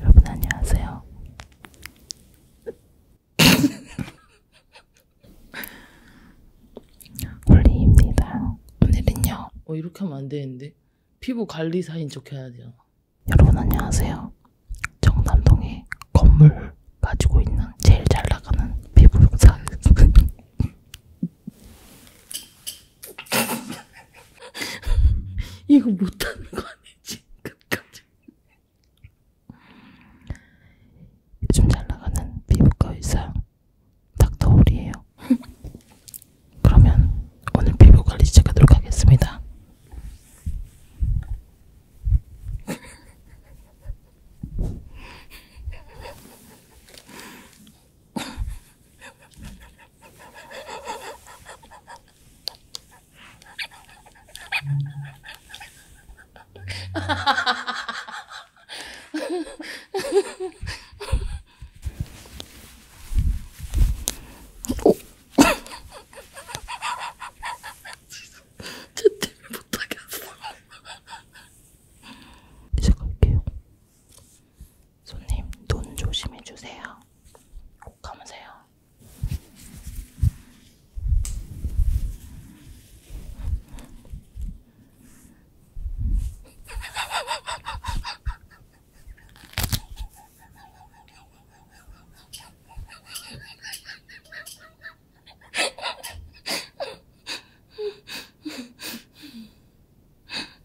여러분 안녕하세요. 홀리입니다. 오늘은요. 어 이렇게 하면 안 되는데 피부 관리사인 척 해야 돼요. 여러분 안녕하세요. 정남동에 건물 가지고 있는 제일 잘 나가는 피부사 이거 못하는 거 아니지? 끝까지. 요즘 잘 나가는 피부과 의사 닥터홀이에요. 그러면 오늘 피부 관리 시작하도록 하겠습니다. 어? 이제 갈게요. 손님, 눈 조심해 주세요. 꼭 감으세요.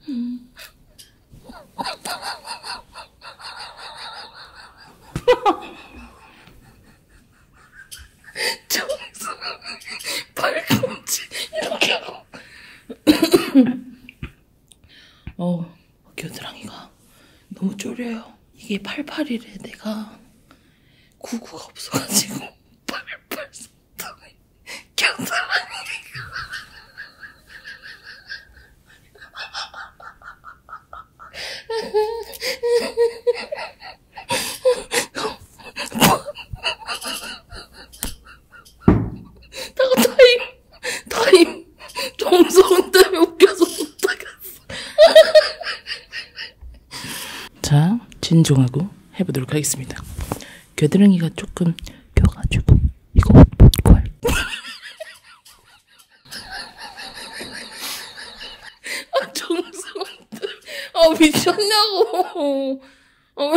음. 저기서 발꿈치 이렇게 하고 어 겨드랑이가 너무 졸려요 이게 88이래 내가 구구가 없어가지고 88 자, 진정하고 해보도록 하겠습니다. 겨드랑이가 조금 껴가지고 이거 못걸 아 정성들 아 미쳤냐고 어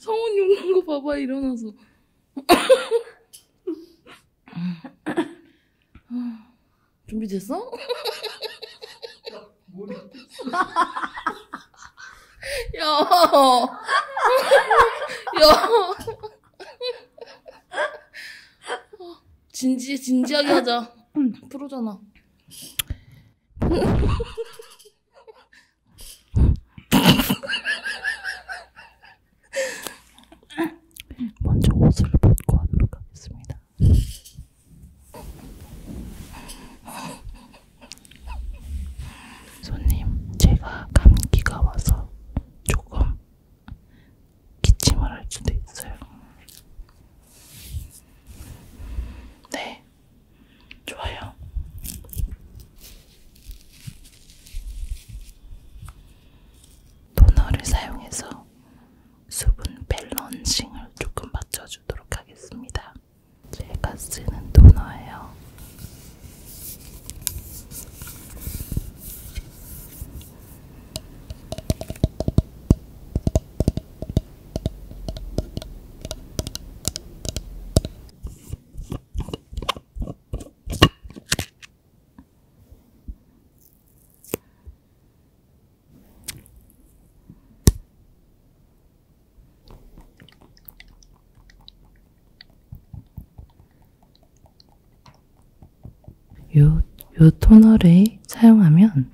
성훈이 우는 거 봐봐 일어나서 음. 준비됐어? 야, 야, 진지 진지하게 하자. 음, 프로잖아. 먼저 옷을 벗고 하도록 하겠습니다. 손님, 제가 감기가 와서 조금 기침을 할 수도 있어요. 네, 좋아요. 토너를 사용해서 수분 밸런싱을 조금 맞춰주도록 하겠습니다. 제가 쓰는 토너예요. 요, 요 토너를 사용하면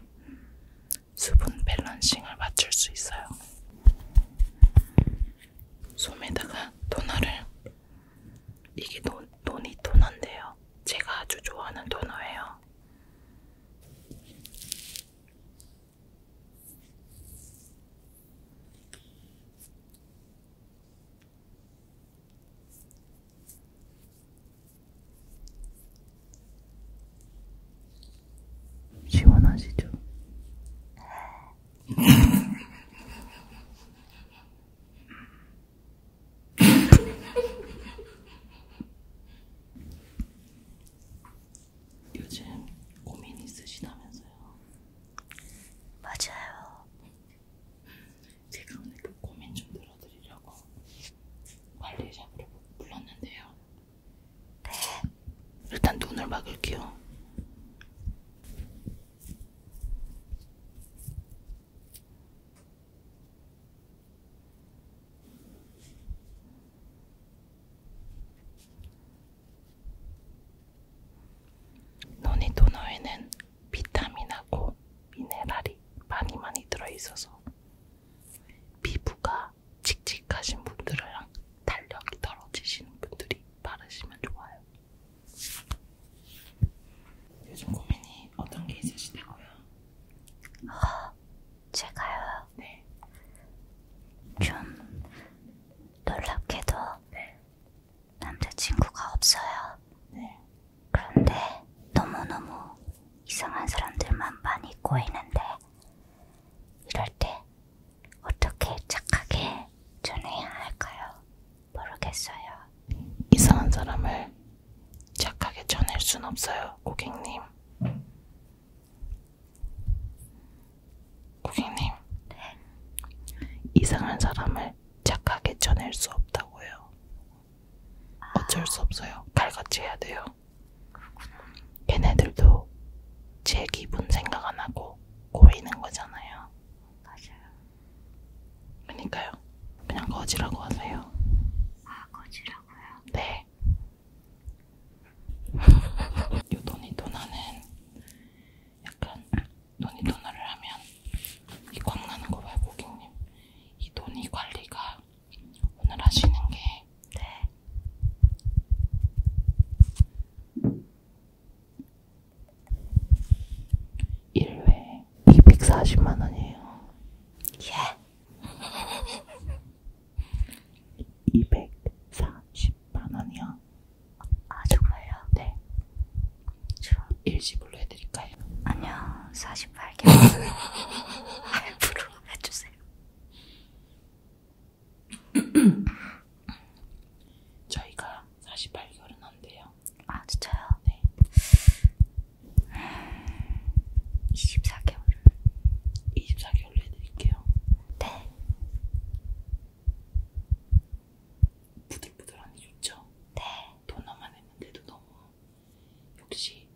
수분 밸런싱을 맞출 수 있어요. 솜에다가 토너를 이게 논, 논이 토너인데요. 제가 아주 좋아하는 토너예요. 시원하시죠? 요즘 고민 있으시다면서요? 맞아요. 제가 오늘 그 고민 좀 들어드리려고 관리샵으로 불렀는데요. 네. 일단 눈을 막을게요. 논의 도너에는 비타민하고 미네랄이 많이 많이 들어있어서 피부가 칙칙하신 분들이랑 탄력이 떨어지시는 분들이 바르시면 좋아요. 요즘 고민이 어떤 게 있으시다고요? 어, 제가요? 네. 좀 놀랍게도 네. 남자친구가 없어요. 네. 그런데 너무너무 이상한 사람들만 많이 꼬이는데 이럴 때 어떻게 착하게 전해야 할까요? 모르겠어요. 이상한 사람을 착하게 쳐낼 순 없어요, 고객님. 고객님. 네. 이상한 사람을 착하게 쳐낼 수 없다고요. 아. 어쩔 수 없어요. 칼같이 해야 돼요. 걔네들도 제 기분 생각 안 하고 꼬이는 거잖아요. 맞아요. 그니까요. 그냥 거지라고 하세요. 아, 거지라고요? 네. 요돈이 도나는 약간 돈이 도나를 하면 이 광나는 거 봐요, 고객님. 이 돈이 관리가 오늘 하시는 게 네. 1회 240만원이에요. 예! 240만원이요. 아, 정말요? 네. 저... 일시불로 해드릴까요? 아니요, 48개. 할부로 해주세요. 저희가 48개월은 안 돼요. 아, 진짜요? 네. 24개월을. 24개월로 해드릴게요. 네. 부들부들하니 좋죠? 네. 도나만 했는데도 너무. 역시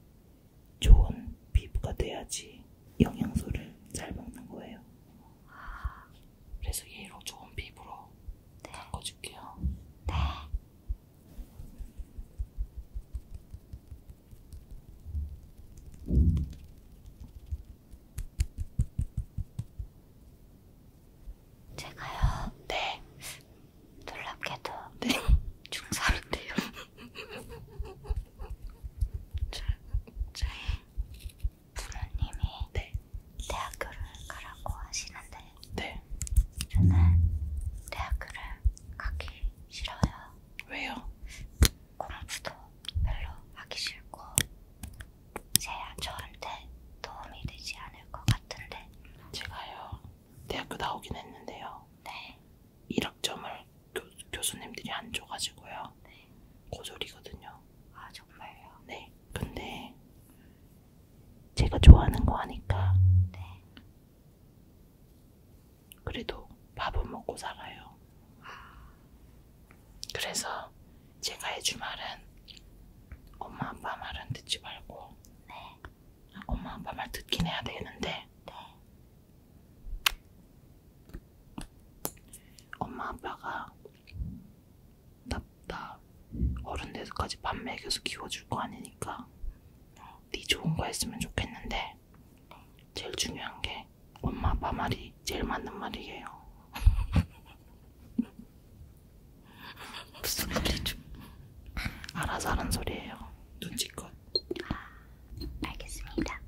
좋은 피부가 돼야지 영양소를 잘 먹는 거예요. 아. 그래서 얘로 좋은 피부로 네. 바꿔줄게요. 네. 제가요. 네. 놀랍게도 네. 중3인데요. 저, 저희 부모님이 네. 대학교를 가라고 하시는데 네. 저는 대학교를 가기 싫어요. 왜요? 공부도 별로 하기 싫고 제 저한테 도움이 되지 않을 것 같은데 제가요 대학교 나오긴 했는데요. 네. 1학점을 교, 교수님들이 안 줘가지고요. 네. 고졸이거든요. 아 정말요? 네. 근데 제가 좋아하는 거 하니까. 네. 그래도 밥은 먹고 살아요. 아. 그래서 제가 해줄 말은 엄마 아빠 말은 듣지 말고. 네. 엄마 아빠 말 듣긴 해야 되는데. 네. 엄마 아빠가 납다 어른 돼서까지 밥 먹여서 키워줄 거 아니니까 네 좋은 거 했으면 좋겠는데 제일 중요한 게 엄마 아빠 말이 제일 맞는 말이에요. 무슨 말이죠? 알아서 하는 소리예요. 눈치껏. 아, 알겠습니다.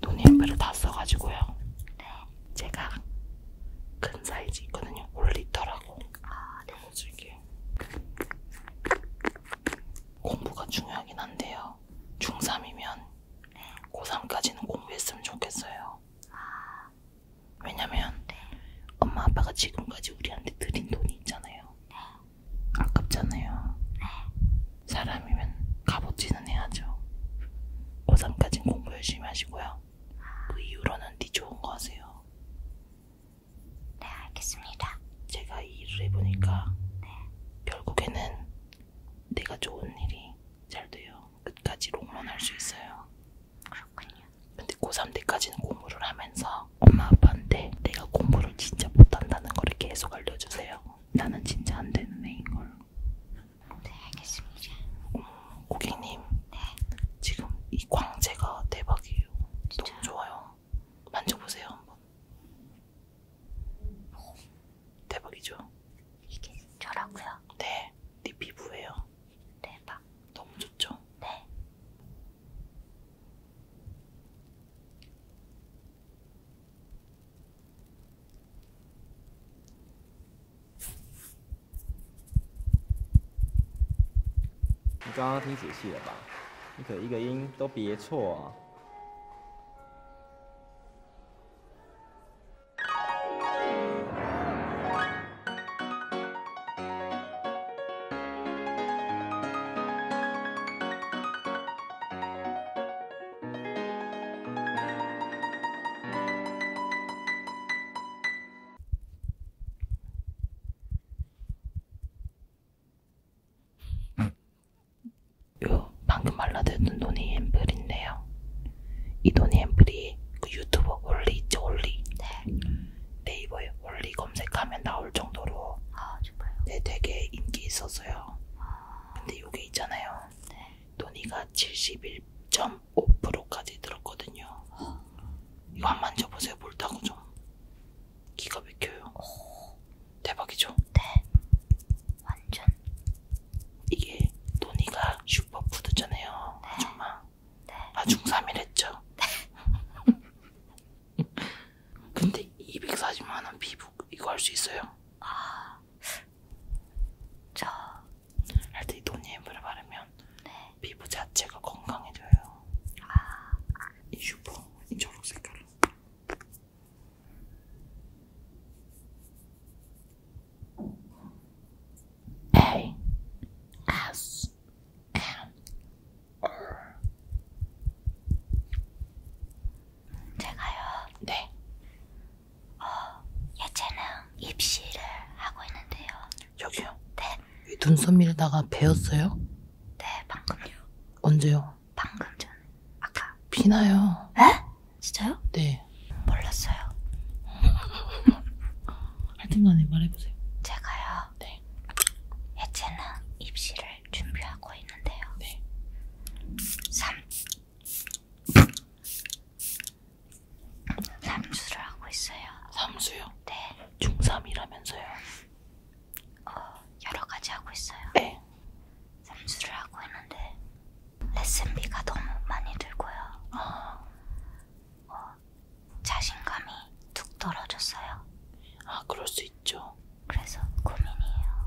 논일부를 다 써가지고요. 제가 큰 사이즈 있거든요. 올리터라고. 아, 네. 솔직히. 공부가 중요하긴 한데요. 중3이면 네. 고3까지는 공부했으면 좋겠어요. 아... 왜냐면 네. 엄마 아빠가 지금까지 우리한테 드린 돈이 있잖아요. 네. 아깝잖아요. 사람이면 값어치는 해야죠. 고3까진 공부 열심히 하시고요. 그 이후로는 네 좋은 거 하세요. 네, 알겠습니다. 제가 이 일을 해보니까 네. 결국에는 내가 좋은 일이 잘 돼요. 끝까지 롱런 할 수 있어요. 그렇군요. 근데 고3 때까지는 공부를 하면서 알려주세요. 엄마 아빠한테 내가 공부를 진짜 못한다는 거를 계속 알려주세요. 나는 진짜 안 되는 애인걸. 네 알겠습니다. 음, 고객님. 네. 지금 이 광채가 대박이에요. 진짜요? 너무 좋아요. 만져보세요 한번. 오. 대박이죠? 이게 저라고요? 네. 네 피부예요. 대박. 너무 좋죠? 네. 你刚刚听仔细了吧？你可一个音都别错啊！요 방금 말라드는 노니 앰플인데요. 이 노니 앰플이 그 유튜버 올리 있죠 올리. 네. 네이버에 올리 검색하면 나올 정도로 아, 아주 봐요. 네, 되게 인기 있었어요. 아... 근데 요게 있잖아요. 네. 논의가 71.5%까지 들었거든요. 아... 이거 한 만져보세요. 볼타고 좀. 기가 막혀요. 오... 대박이죠? 네. 완전. 이게 논의가 슈퍼푸드잖아요. 네. 아줌마. 네. 아, 중3이랬죠? 네. 근데 240만원 피부 이거 할 수 있어요? 아... 저... 할때 이 돈예물을 바르면 네. 피부 자체가 건강해져요 아... 이 슈퍼 이 초록 색깔로 A S M 제가요. 네. 어, 예체능 입시를 하고 있는데요. 여기요? 네. 이 눈썹 밀다가 베었어요? 네, 방금요. 언제요? 방금 전. 아까. 피나요. 에? 진짜요? 네. 몰랐어요. 하여튼간에 말해보세요. 제가요. 네. 예체능 입시를 준비하고 있는데요. 네. 3 삼수를 하고 있어요. 삼수요? 네. 중3이라면서요? 어, 여러 가지 하고 있어요. 네. 삼수를 하고 있는데 레슨비가 너무 많이 들고요. 아. 어, 자신감이 뚝 떨어졌어요. 아, 그럴 수 있죠. 그래서 고민이에요.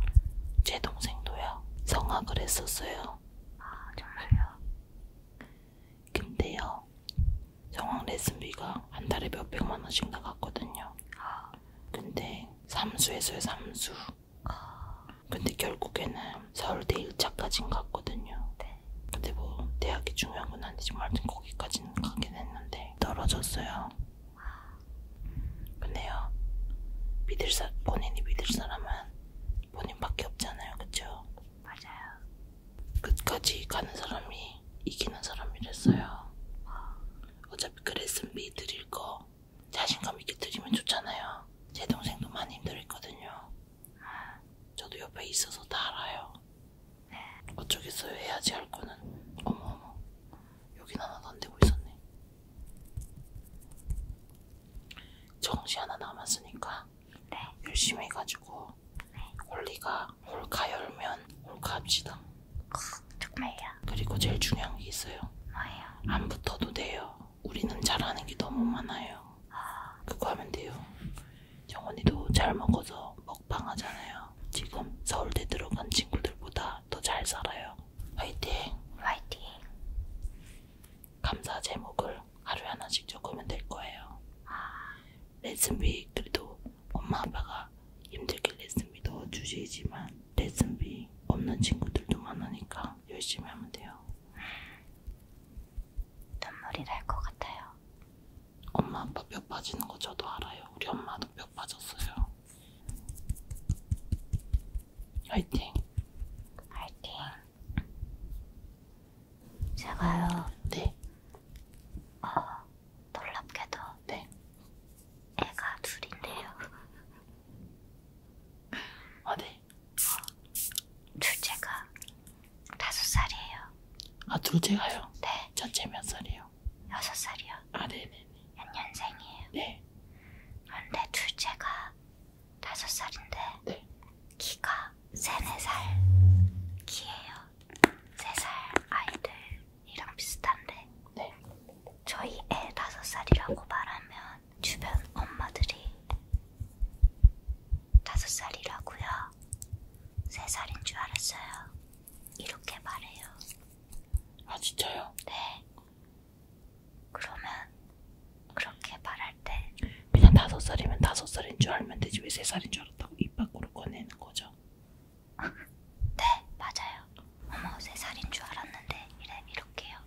제 동생도요. 성악을 했었어요. 아 정말요? 근데요. 성악 레슨비가 한 달에 몇 백만 원씩 나갔거든요. 아. 근데 삼수에서요 삼수. 아. 근데 결국에는 서울대 1차까진 갔거든요. 네. 근데 뭐 대학이 중요한 건 아니지만 거기까지는 가긴 했는데 떨어졌어요. 근데요, 믿을 사, 본인이 믿을 사람은 본인밖에 없잖아요, 그쵸? 맞아요. 끝까지 가는 사람이 이기는 사람이랬어요. 어차피 그레슨비 드릴 거 자신감 있게 드리면 좋잖아요. 제 동생도 많이 힘들었거든요. 저도 옆에 있어서 다 알아요. 어쩌겠어요 해야지 할 거는 어머어머 여긴 하나도 안 되고 있었네 정시 하나 남았으니까 네. 열심히 해가지고 네. 홀리가 홀카 열면 홀카 합시다 정말요? 그리고 제일 중요한 게 있어요 뭐예요? 안 붙어도 돼요 우리는 잘하는 게 너무 많아요 아... 그거 하면 돼요 정원이도 잘 먹어서 먹 먹방하잖아요. 지금 서울대 들어간 친구들보다 더 잘 살아요. 화이팅! 화이팅! 감사 제목을 하루에 하나씩 적으면 될 거예요. 아... 레슨비 그래도 엄마 아빠가 힘들게 레슨비도 주시지만 레슨비 없는 친구들도 많으니까 열심히 하면 돼요. 눈물이 날 것 같아요. 엄마 아빠 뼈 빠지는 거 저도 알아요. 우리 엄마도 뼈 빠졌어요. 화이팅. 화이팅. 제가요. 네. 어, 놀랍게도. 네. 애가 둘인데요. 아, 네. 어, 둘째가 다섯 살이에요. 아, 둘째가요? 네. 첫째 몇 살이에요? 살이요? 여섯 살이요? 아 네네네. 몇 년생이에요? 네. 그런데 둘째가 다섯 살인데 네. 키가 세네 살 키예요. 세 살 아이들이랑 비슷한데 네. 저희 애 다섯 살이라고 말하면 주변 엄마들이 다섯 살이라고요. 세 살인 줄 알았어요. 이렇게 말해요. 아 진짜요? 네. 그러면 그렇게 말할 때 그냥 다섯 살이면 다섯 살인 줄 알면 되지 왜 세 살인 줄 알았다고 입 밖으로 꺼내는 거죠? 네 맞아요. 어머 세 살인 줄 알았는데 이래 이렇게요.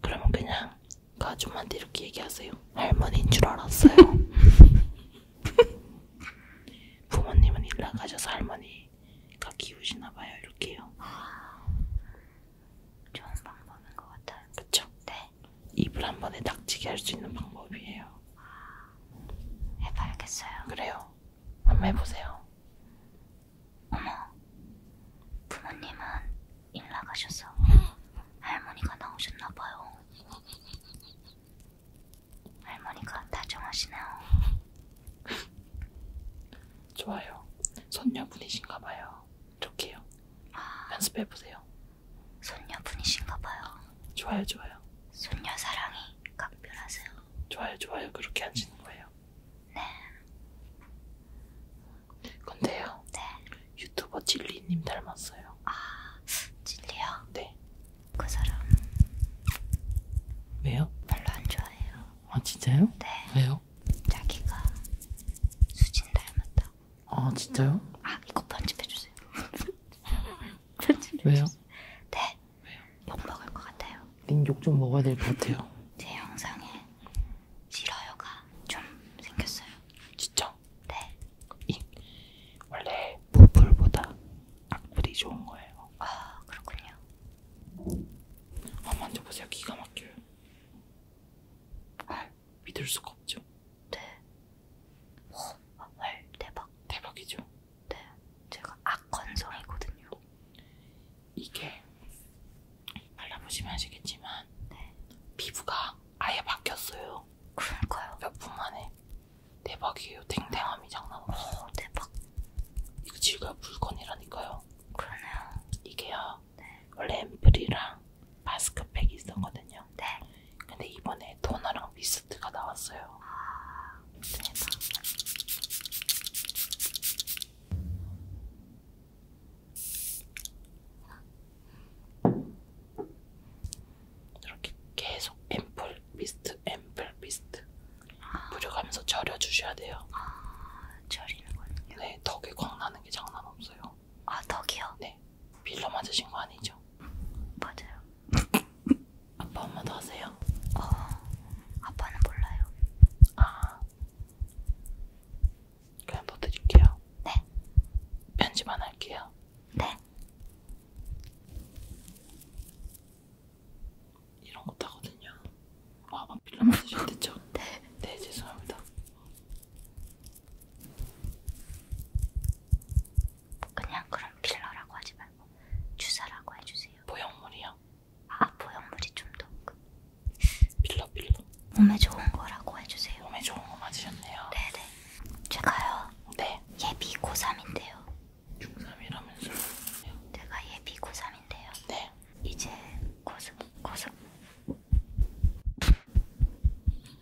그러면 그냥 가족한테 그 이렇게 얘기하세요. 할머니인 줄 알았어요. 부모님은 일 나가셔서 할머니가 키우시나 봐요. 이렇게요. 아, 좋은 방법인 것 같아요. 그쵸? 네. 입을 한 번에 닥치게 할 수 있는 방법이에요. 해봐야겠어요. 그래요. 한번 해보세요. 어머, 부모님은 일 나가셔서 음. 할머니가 나오셨나 봐요. 할머니가 다정하시네요. 좋아요. 손녀분이신가봐요. 좋게요. 아, 연습해보세요. 손녀분이신가봐요. 좋아요, 좋아요. 손녀 사랑이 각별하세요. 좋아요, 좋아요. 그렇게 앉으는 거예요. 네. 근데요, 네. 유튜버 진리님 닮았어요. 아, 진리요? 네. 그 사람 왜요? 별로 안 좋아해요. 아 진짜요? 네. 왜요? 자기가 수진 닮았다고. 아 진짜요? 아 이거 편집해 주세요. 편집. 왜요? 네. 왜요? 욕 먹을 것 같아요. 닌욕좀 먹어야 될 것 같아요. 제 영상에 싫어요가 좀 생겼어요. 진짜? 네. 이 원래 보풀보다 악플이 좋은 거예요. 아 그렇군요. 아 만져보세요. 기가 막혀요. 아 믿을 수가 없죠. 네. 오, 헐 대박. 대박이죠. 네. 제가 악건성이거든요. 이게 발라보시면 아시겠지만 네. 피부가 아예 바뀌었어요. 그럴까요? 몇분 만에. 대박이에요. 탱탱함이 장난 없어요. 오, 어, 대박. 이거 질가 물건이라니까요. 그러네요. 이게요. 네. 원래 앰플이랑 마스크팩이 있었거든요. 네. 근데 이번에 토너랑 미스트가 나왔어요. 아, 좋습니다. 이렇게 계속 앰플 미스트 앰플 미스트 아. 뿌려가면서 절여주셔야 돼요. 아 절이는 거군요. 네 덕에 광 나는 게 장난 없어요. 아 덕이요? 네 빌려 맞으신 거 아니죠? 맞아요. 아빠 엄마도 하세요? 어 아빠는 몰라요. 아 그냥 더 드릴게요. 네 편집 안 할게요. 네. 이런 거 타거든요. 아, 만필름 쓰셨댔죠? 네. 네, 죄송합니다. 그냥 그런 필러라고 하지 말고 주사라고 해주세요. 보형물이요? 아, 보형물이 좀더 필러 필러. 몸에 좋은 거라고 해주세요. 몸에 좋은 거 맞으셨네요. 네네. 네. 제가요. 네. 예비 고3인데요. 중3이라면서요? 제가 예비 고3인데요. 네. 이제 고3, 고3.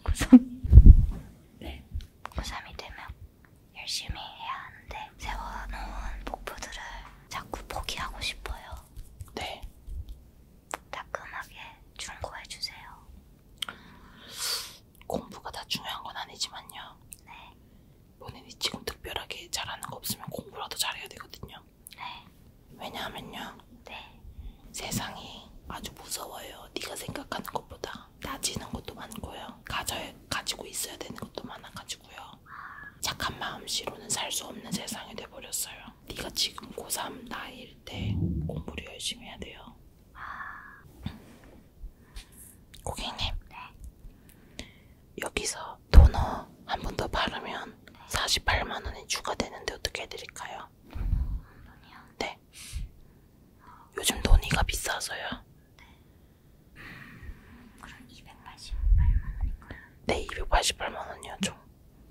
고3? 네. 고3이 되면 열심히 해야 하는데 세워놓은 목표들을 자꾸 포기하고 싶어요. 네. 따끔하게 충고해주세요. 공부가 다 중요한 건 아니지만요. 네. 본인이 지금 특별하게 잘하는 거 없으면 공부라도 잘해야 되거든요. 네. 왜냐하면요. 네. 세상이 아주 무서워요. 네가 생각하는 것보다 따지는 것도 많고요. 가져야, 가지고 있어야 되는 것도 많아가지고요. 아. 착한 마음씨로는 살 수 없는 세상이 돼버렸어요. 네가 지금 고3 나이일 때 공부를 열심히 해야 돼요. 아... 고객님, 네. 여기서 토너 한 번 더 바르면 네. 48만 원이 추가되는데 어떻게 해드릴까요? 음, 돈이요? 네. 어... 요즘 돈이가 비싸서요. 네. 음, 그럼 288만 원인가요? 네, 288만 원이요. 좀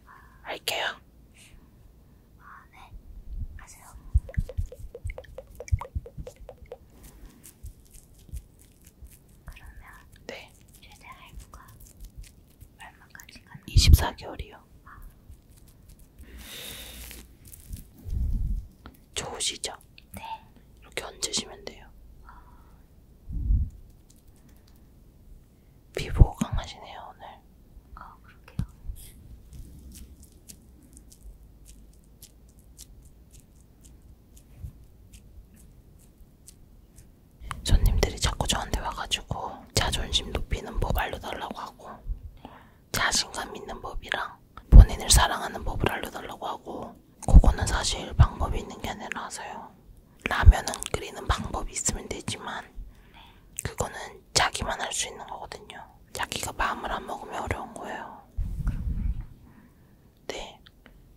아... 할게요. 아, 네. 가세요. 그러면 네. 최대 할부가 얼마까지 가는 24개월이요. 아. 좋으시죠? 네. 이렇게 얹으시면 돼요. 아. 피부 강하시네요, 오늘. 아, 그러게요. 손님들이 자꾸 저한테 와가지고 자존심 높이는 법 알려달라고 하고 자신감 있는 법이랑 본인을 사랑하는 법을 알려달라고 하고 그거는 사실 방법이 있는 게 아니라서요. 라면은 끓이는 방법이 있으면 되지만 그거는 자기만 할 수 있는 거거든요. 자기가 마음을 안 먹으면 어려운 거예요. 네.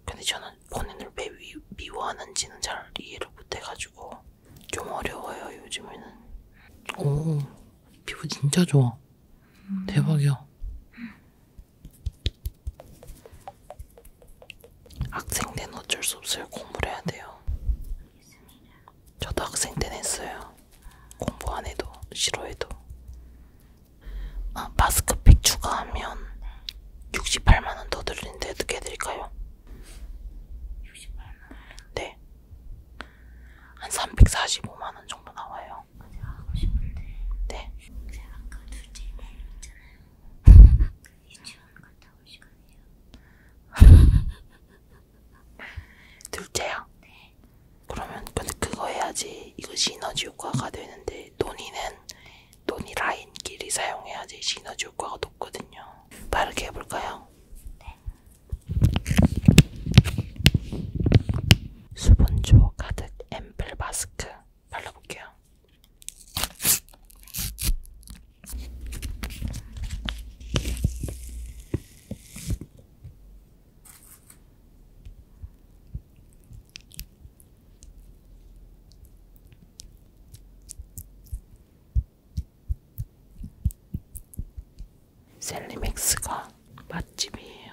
근데 저는 본인을 왜 미, 미워하는지는 잘 이해를 못해가지고 좀 어려워요 요즘에는. 오 피부 진짜 좋아. 음. 대박이야. 학생 때는 어쩔 수 없어요. 공부를 해야 돼요. 저도 학생 때는 했어요. 공부 안 해도 싫어해도 아, 마스크팩 추가하면 68만원 더 드리는데 어떻게 해드릴까요? 68만원? 네. 한 345만원 정도 나와요. 제가 하고 싶은데. 네. 제가 아까 둘째 얘기 있잖아요. 유치원 갔다 올 시간이에요. 둘째요? 네. 그러면 근데 그거 해야지 이거 시너지 효과가 되는데 논의는 논의 라인끼리 사용해야지 시너지 효과가 높거든요. 빠르게 해볼까요? 네. 수분조 가득 앰플 마스크 발라볼게요. 셀리맥스가 맛집이에요.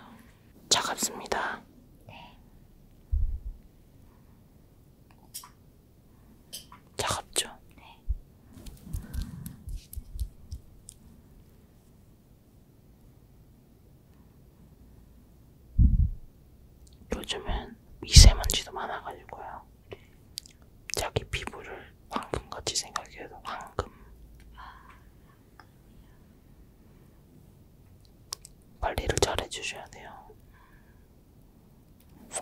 차갑습니다. 네. 차갑죠? 네. 요즘은 미세먼지도 많아가지고요. 자기 피부를 황금같이 생각해도 황금. 관리를 잘 해주셔야 돼요.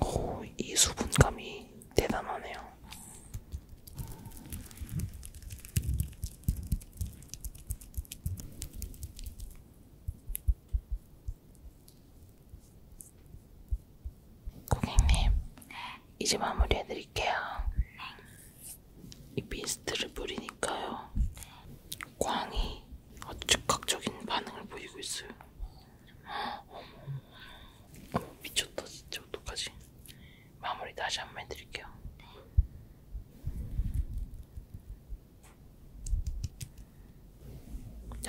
오, 이 수분감이 대단하네요. 고객님, 이제 마무리해드릴게요. 이 미스트를 뿌리니까요. 광이 아주 즉각적인 반응을 보이고 있어요. 어머, 미쳤다 진짜 어떡하지? 마무리 다시 한 번 해드릴게요. 네.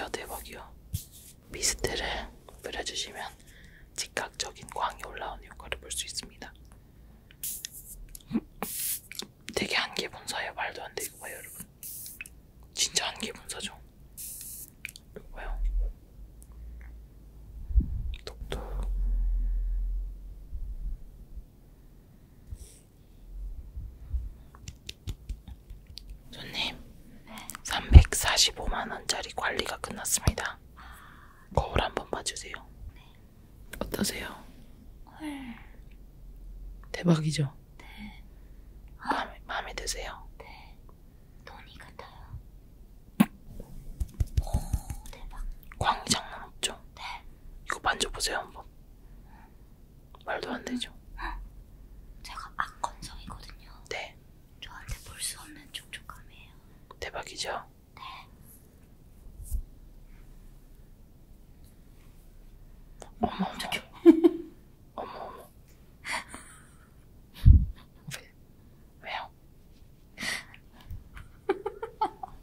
야 대박이요. 미스트를 뿌려주시면 즉각적인 광이 올라오는 효과를 볼 수 있습니다. 되게 한계 분사예요. 말도 안 돼. 이거 봐요, 여러분. 진짜 한계 분사죠. 이거 봐요. 톡톡 손님 네. 345만원짜리 관리가 끝났습니다 아... 거울 한번 봐주세요 네. 어떠세요? 헐 대박이죠? 네. 아... 마음에, 마음에 드세요? 네 돈이 같아요 오 대박. 광이 장난 없죠? 네. 이거 만져보세요 한번. 말도 안 되죠? 응. 제가 악건성이거든요. 네. 저한테 볼 수 없는 촉촉함이에요. 대박이죠? 네. 어머 어머. 어머 어머. 그 왜요?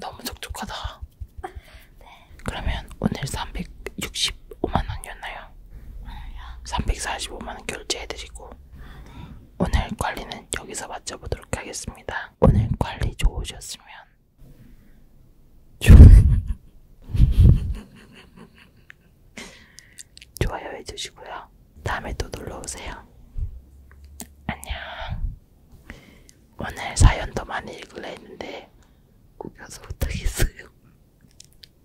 너무 촉촉하다. 네. 그러면 오늘 365만 원이었나요? 오늘요? 345만 원 결제해드리고 아, 네. 오늘 관리는 여기서 마쳐보도록 하겠습니다. 오늘 관리 좋으셨으면 좋... 좋아요 해주시고요. 다음에 또 놀러오세요. 안녕. 오늘 사연도 많이 읽으려 했는데 꾸겨서 못하겠어요.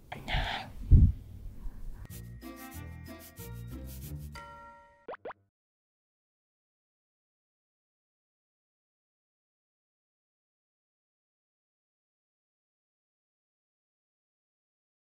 안녕.